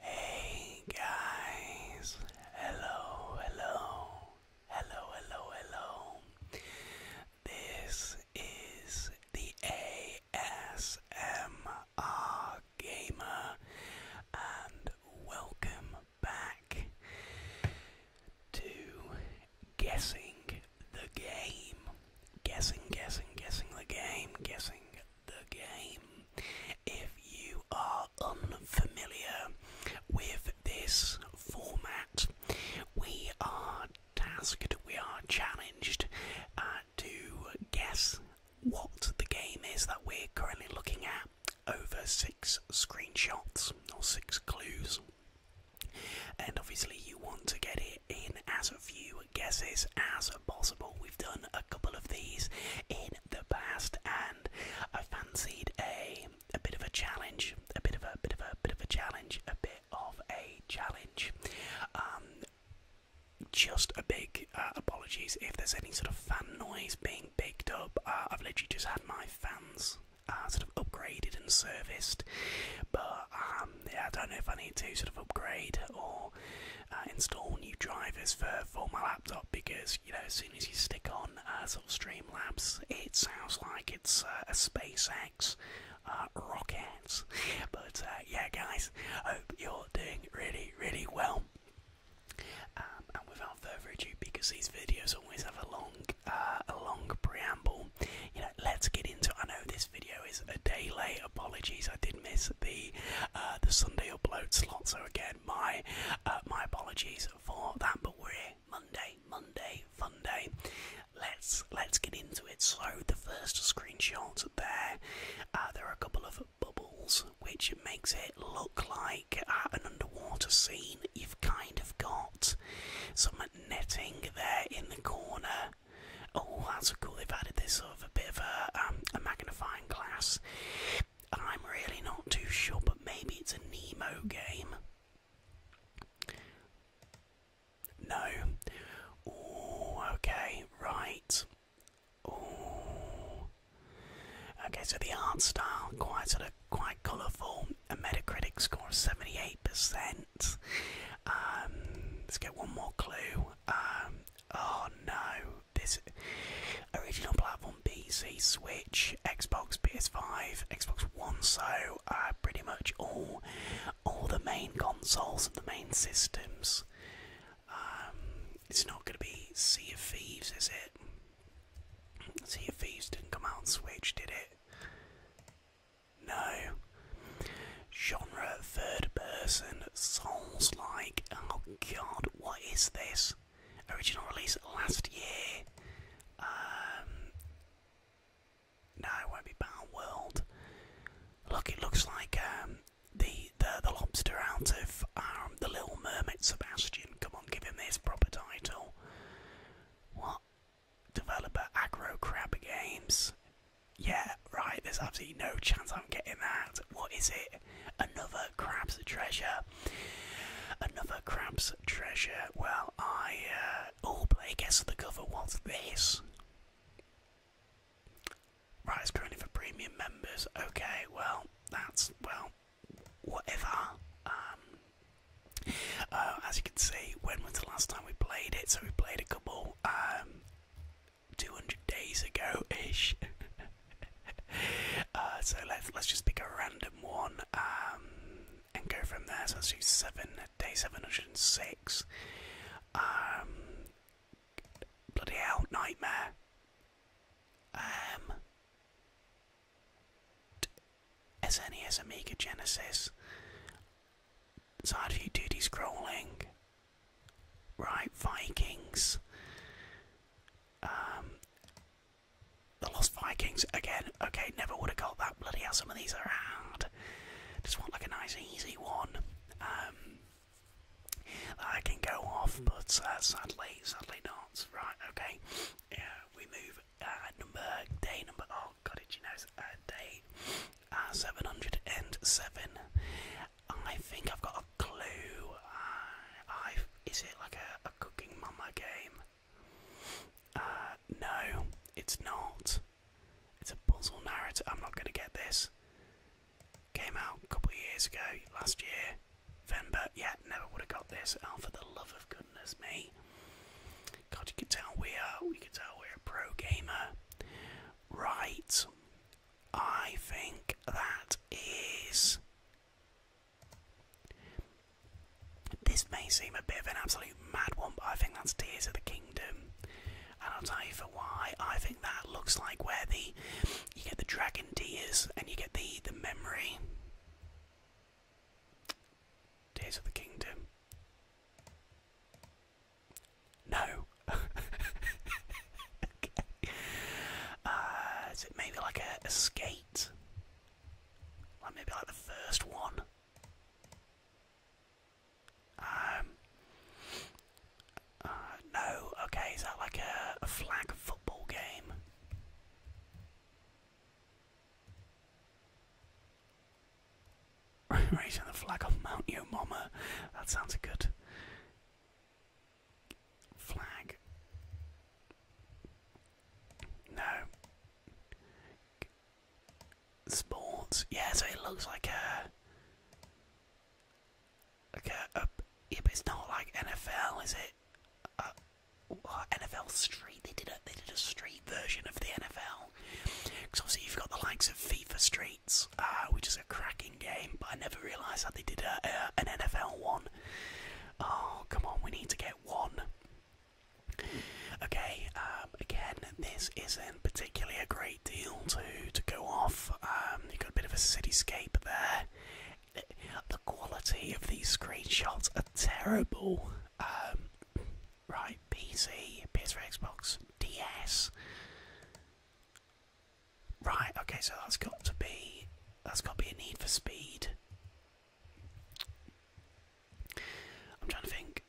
Hey guys, hello, hello, hello, hello, hello. This is the ASMR Gamer, and welcome back to Guessing the Game. Guessing, guessing, guessing the game, guessing the game. If you are unfamiliar with this format, we are tasked, we are challenged uh, to guess what the game is that we're currently looking at over six screenshots or six clues. And obviously, you want to get it in as few guesses as possible. We've done a couple of these in the past, and I fancied a a bit of a challenge, a bit of a bit of a bit of a challenge, a bit of a challenge. Um, just a big uh, apologies if there's any sort of fan noise being picked up. Uh, I've literally just had my fans uh, sort of upgraded and serviced, but um, yeah, I don't know if I need to sort of upgrade or install new drivers for for my laptop because you know as soon as you stick on sort of Streamlabs, it sounds like it's a SpaceX. rocket, but yeah, guys, hope you're doing really, really well. Um, and without further ado, because these videos always have a long, uh, a long preamble, you know, let's get into. I know this video is a day late. Apologies, I did miss the uh, the Sunday upload slot. So again, my uh, my apologies for that. But we're here Monday, Monday, fun Let's let's get into it. So the first screenshots there, uh, there are a couple of bubbles, which makes it look like an underwater scene. You've kind of got some netting there in the corner. Oh, that's cool. They've added this sort of a bit of a, um, a magnifying glass. I'm really not too sure, but maybe it's a Nemo game. No. okay, right. Okay, so the art style quite sort of quite colourful. A Metacritic score of seventy-eight percent. Um, let's get one more clue. Um, oh no, this original platform PC, Switch, Xbox, PS5, Xbox One. So uh, pretty much all all the main consoles and the main systems. Um, it's not going to be Sea of Thieves, is it? Sea of Thieves didn't come out on Switch, did it? No. Genre third person souls like. Oh god, what is this? Original release last year. Um, no, it won't be Battle World. Look, it looks like um, the the, the lobster out of um, the Little Mermaid. Sebastian, come on, give him his proper title. What? Developer Agro Crab Games. Yeah, right. There's absolutely no chance I'm getting that. What is it? Another crab's treasure. Another crab's treasure. Well, I uh, oh, play guess the cover. What's this? Right, it's currently for premium members. Okay, well, that's, well, whatever. Um, uh, as you can see, when was the last time we played it? So we played a couple, um, 200 days ago-ish. Uh, so let's, let's just pick a random one, um, and go from there. So let's do seven, day 706. bloody hell, nightmare. Um, SNES, Amiga, Genesis, side view duty scrolling, right? Vikings, um, the Lost Vikings again. Okay, never would have got that. Bloody hell, some of these are hard. Just want like a nice, easy one. Um, I can go off, but uh, sadly, sadly not. Right, okay. Uh, we move uh, number day number. Oh God, it you know uh, day seven hundred and seven. I think I've got a clue. I is it like a, cooking mama game? no, it's not. It's a puzzle narrative. I'm not gonna get this. Came out a couple of years ago, last year, November. Yeah, never would have got this. Oh, for the love of goodness me! God, you can tell we are. We can tell we're a pro gamer, right? I think that is. This may seem a bit of an absolute mad one, but I think that's Tears of the Kingdom. And I'll tell you for why. I think that looks like where the you get the dragon tears, and you get the the memory. Tears of the Kingdom. No. Uh, is it maybe like a, a Like maybe like the first one. Um, uh, no, okay, is that like a, flag football game? Raising the flag of Mount Yo Mama. That sounds good flag. No. Sports. Yeah, it looks like a Okay, uh, it's not like NFL, is it? Uh, NFL Street. They did a they did a street version of the NFL. Because obviously you've got the likes of FIFA Streets, uh, which is a cracking game. But I never realised that they did an NFL one. Oh come on, we need to get one. Okay, um, again, this isn't particularly a great deal to to go off. Um, you've got a bit of a cityscape there, the quality of these screenshots are terrible. Um, right, PC, PS4, Xbox, DS. Right, okay, so that's got to be that's got to be a need for speed. I'm trying to think.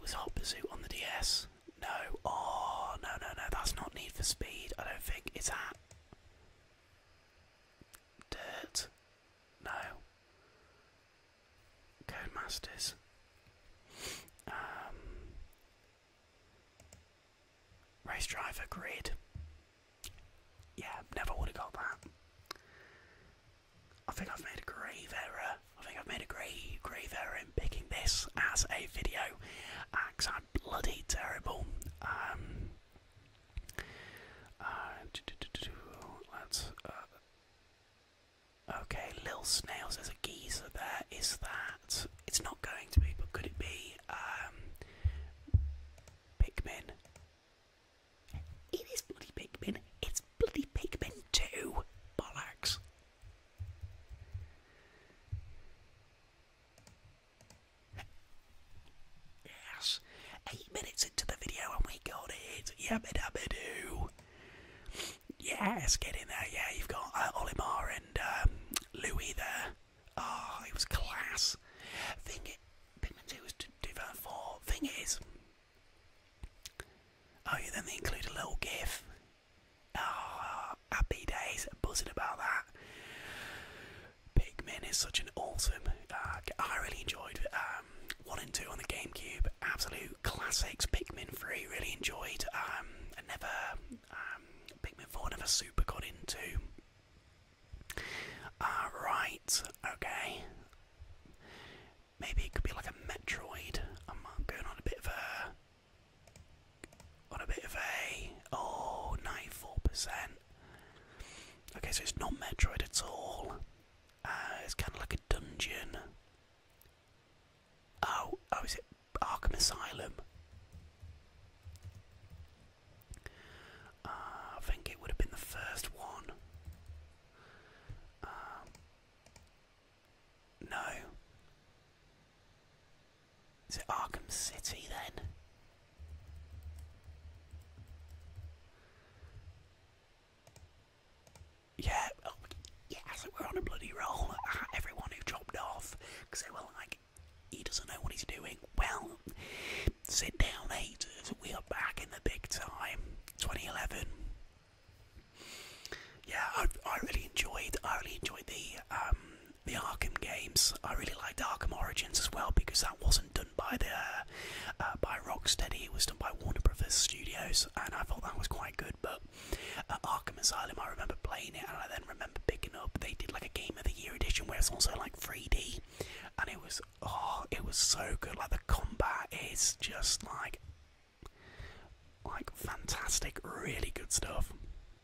Was Hot Pursuit on the DS? No. Oh no no no, that's not Need for Speed. I don't think. it's that Dirt. No. Codemasters. Um, race driver grid. Yeah, never would have got that. I think I've made a grave error. I think I've made a grave, grave error in picking this as a video. Because bloody terrible. Um, uh, let's. Uh, okay, Lil Snails, there's a geezer there. Is that. It's not going to be, but could it be. Um, Pikmin? It is bloody Pikmin. It's bloody Pikmin too. Bollocks. Yes. Eight minutes into the video and we got it. Yabba-dabba-doo. Yes, get in there. Yeah, you've got uh, Olimar and um, Louis there. Oh, it was class. Thing it, Pikmin 2 was Divine Thing is, oh yeah, then they include a little gif. Oh, happy days, buzzing about that. Pikmin is such an awesome. Uh, I really enjoyed um, one and two on the GameCube. Absolute classics. Pikmin three, really enjoyed. Um, never um, Pikmin four never super got into. Uh, right, okay. Maybe it could be like a Metroid. I'm going on a bit of a on a bit of a oh percent Okay, so it's not Metroid at all. Uh, it's kind of like a dungeon. Oh, oh, is it Arkham Asylum? Uh, I think it would have been the first one. Um, no, is it Arkham City then? Yeah, oh, yeah, so we're on a bloody roll. everyone who dropped off, because they were like, he doesn't know what he's doing. Well, sit down, haters. We are back in the big time. 2011. Yeah, I, I really enjoyed. I really enjoyed the um, the Arkham games. I really liked Arkham Origins as well because that wasn't done by the uh, uh, by Rocksteady. It was done by Warner Brothers Studios, and I thought that was quite good. But uh, Arkham Asylum, I remember playing it, and I then remember picking up. They did like a Game of the Year edition where it's also like 3D, and it was oh, it was so good. Like the combat is just like like fantastic, really good stuff.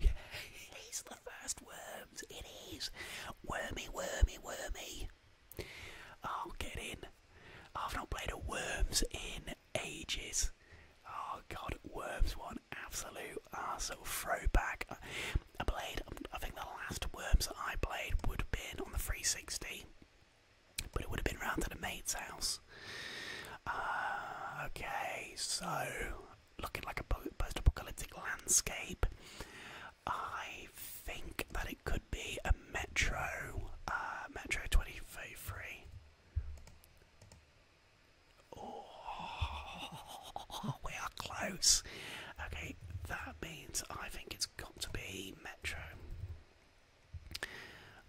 Yeah, it is the first worms. It is. Wormy, wormy, wormy. Oh, get in. I've not played a worms in ages. Oh god, worms one absolute uh, sort of throwback. A blade. I think the last worms I played would have been on the 360, but it would have been around to the mate's house. Uh, okay, so looking like a post apocalyptic landscape. I think that it could be a Metro, uh, Metro 2033. Oh, we are close. Okay, that means I think it's got to be Metro.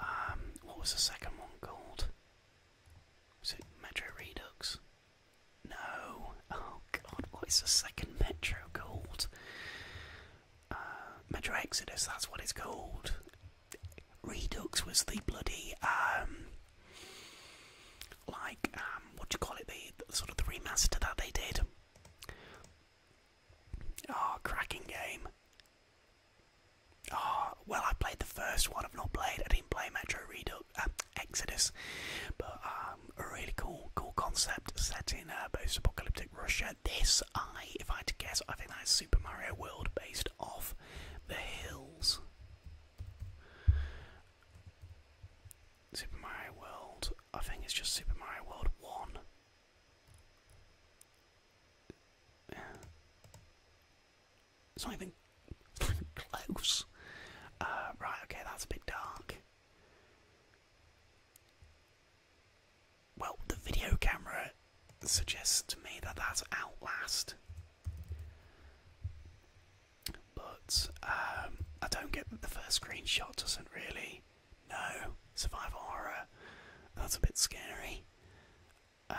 Um, what was the second one called? Was it Metro Redux? No. Oh god, what is the second Metro called? Uh, Metro Exodus, that's what it's called. Redux was the bloody, um, like, um, what do you call it? The, sort of the remaster that they did. Oh, cracking game. Oh, well, I played the first one. I've not played. I didn't play Metro Redux, um, Exodus, but um, a really cool, cool concept set in a uh, post-apocalyptic Russia. This, I, if I had to guess, I think that's Super Mario World based off The Hills. Super Mario World. I think it's just Super Mario World One. It's not even, close. Uh, right, okay, that's a bit dark. Well, the video camera suggests to me that that's Outlast. But um, I don't get that the first screenshot doesn't really. No, survival horror. That's a bit scary. Um,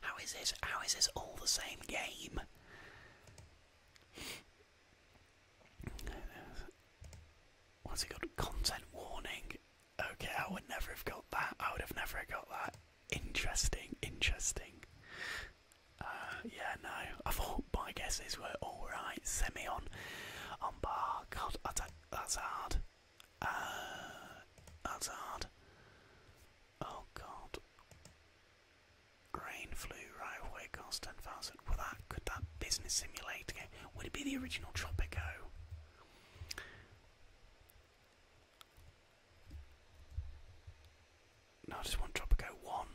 how is this? How is this all the same game? What's it called? Content warning. Okay, I would never have got that. I would have never got that. Interesting, interesting. Uh, yeah, no. I thought my guesses were all right. Semyon on God, that's hard. Uh, that's hard. Oh god. Grain flu right away cost ten thousand. Well that could that business simulator game would it be the original Tropico? No, I just want Tropico one.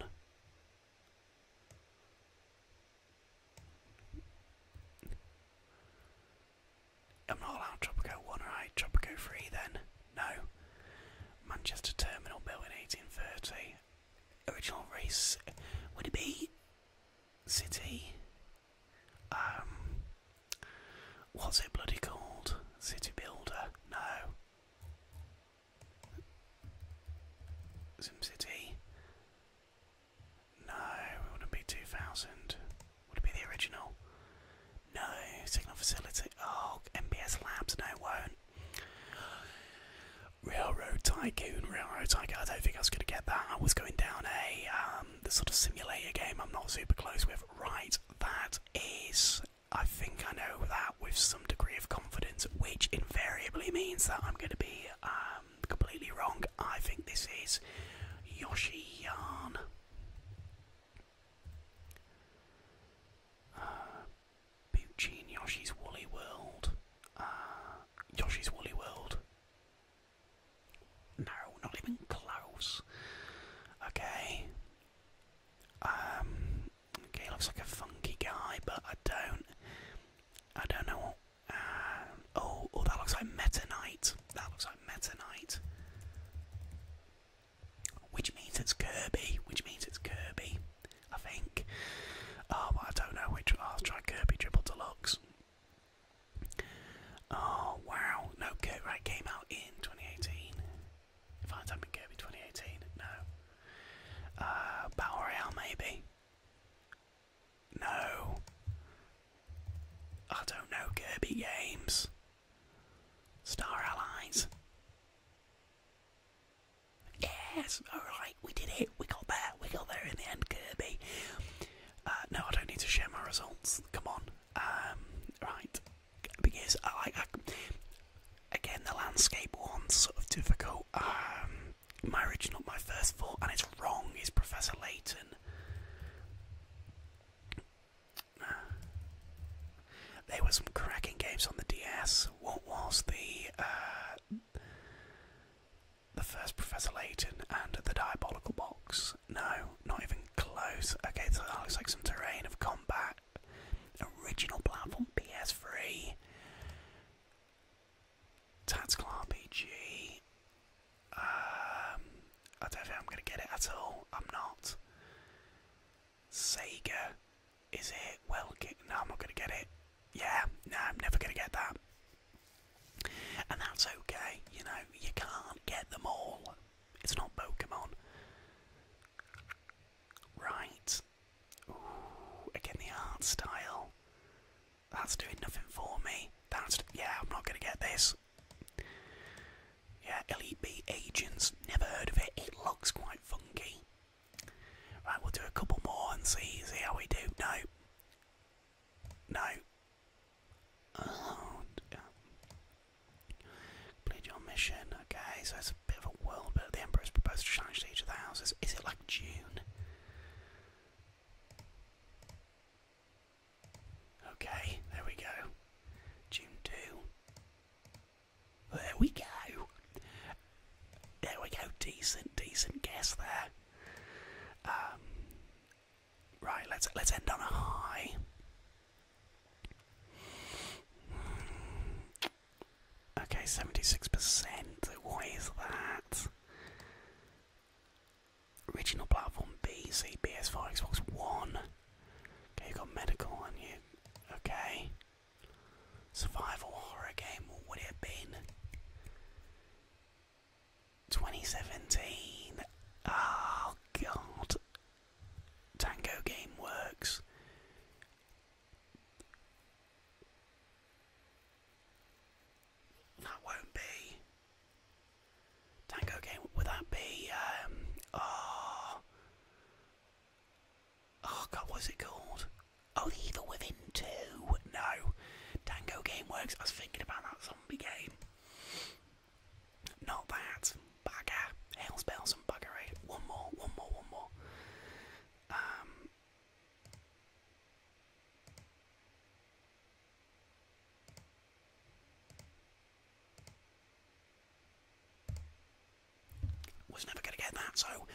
I'm not allowed Tropico 1, right? Tropico 3 then? No. Manchester Terminal built in 1830. Original race. Would it be. City? Um. What's it bloody called? City Builder? No. City. No, it wouldn't be 2000. Would it be the original? No, signal facility. Oh, MBS Labs. No, it won't. Railroad Tycoon, Railroad Tycoon. I don't think I was going to get that. I was going down a um, the sort of simulator game. I'm not super close with. Right, that is. I think I know that with some degree of confidence, which invariably means that I'm going to be. Uh, um, completely wrong. I think this is Yoshi Yarn. Uh, Yoshi's Woolly World. Uh, Yoshi's Woolly World. No, not even close. Okay. Um, okay, looks like a funky guy, but I don't. I don't know what um, oh, oh, that looks like Meta That looks like Meta Which means it's Kirby. Which means it's Kirby. I think. Um, I don't know which. I'll try Kirby Triple Deluxe. Oh wow! No, Kirby right, came out in 2018. If I type in Kirby 2018, no. Uh, Battle maybe. No. I don't know Kirby games. Star Allies. Yes, alright, we did it. We got there. We got there in the end, Kirby. Uh, no, I don't need to share my results. Come on. Um, right. Because I like. again, the landscape one's sort of difficult. Um, marriage not my first thought, and it's wrong, is Professor Layton. There were some cracking games on the DS. What was the uh, the first Professor Layton and the Diabolical Box? No, not even close. Okay, so that looks like some terrain of combat. Original platform PS3. Tactical RPG. Um, I don't think I'm going to get it at all. I'm not. Sega. Is it? Well, no, I'm not going to get it. Yeah, no, I'm never going to get that. And that's okay, you know, you can't get them all. It's not Pokemon. Right. again, the art style. That's doing nothing for me. That's yeah, I'm not gonna get this. Yeah, LEB agents. Never heard of it. It looks quite funky. Right, we'll do a couple more and see see how we do. No. No. Oh, Complete your mission. Okay, so it's a bit of a world, but the Emperor's proposed to challenge each of the houses. Is it like June? Okay, there we go. June 2. There we go. There we go. Decent, decent guess there. Um, right, let's let's end on a high. Okay, seventy-six percent. Why is that? Original platform PC, PS5, Xbox One. Okay, you got medical on you. Okay. Survival horror game, what would it have 2017. Oh, God. Tango Game Works. That won't be. Tango game, would that be, um, oh. Oh god, what's it called? Oh, Evil Within 2. No. Tango Game Works. I was thinking about that zombie game. Not that. Bugger. Hell's bells and buggery. One more, one more, one more. Um. Was never going to get that, so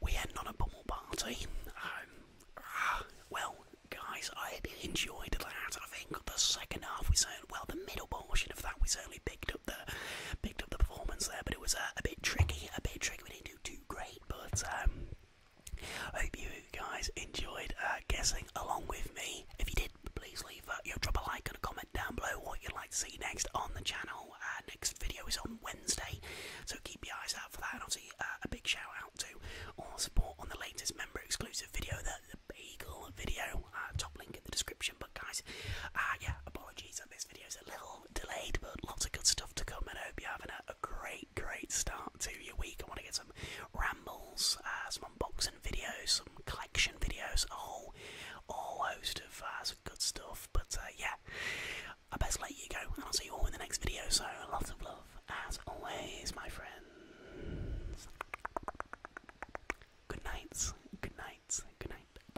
we end on a pummel party. Um, ah, well, guys, I enjoyed that. I think the second half we certainly, well, the middle portion of that we certainly picked up the picked up the performance there, but it was uh, a bit tricky, a bit tricky. We didn't do too great, but um, I Hope you guys enjoyed uh, guessing along with me. If you did, please leave uh, your drop a like and a comment down below what you'd like to see next on the channel. Uh, next video is on Wednesday, so keep your eyes out for that. And obviously, uh, a big shout out to all support on the latest member exclusive video, the, the video. Uh, top link in the description. But guys, yeah, apologies that this video is a little delayed, but lots of good stuff to come, and I hope you're having a, a great, great start to your week. I want to get some rambles, uh, some unboxing videos, some collection videos, a whole, host of uh, good stuff. But uh, yeah, I best let you go, and I'll see you all in the next video. So lots of love, as always, my friends. Good nights. Good nights. Good night.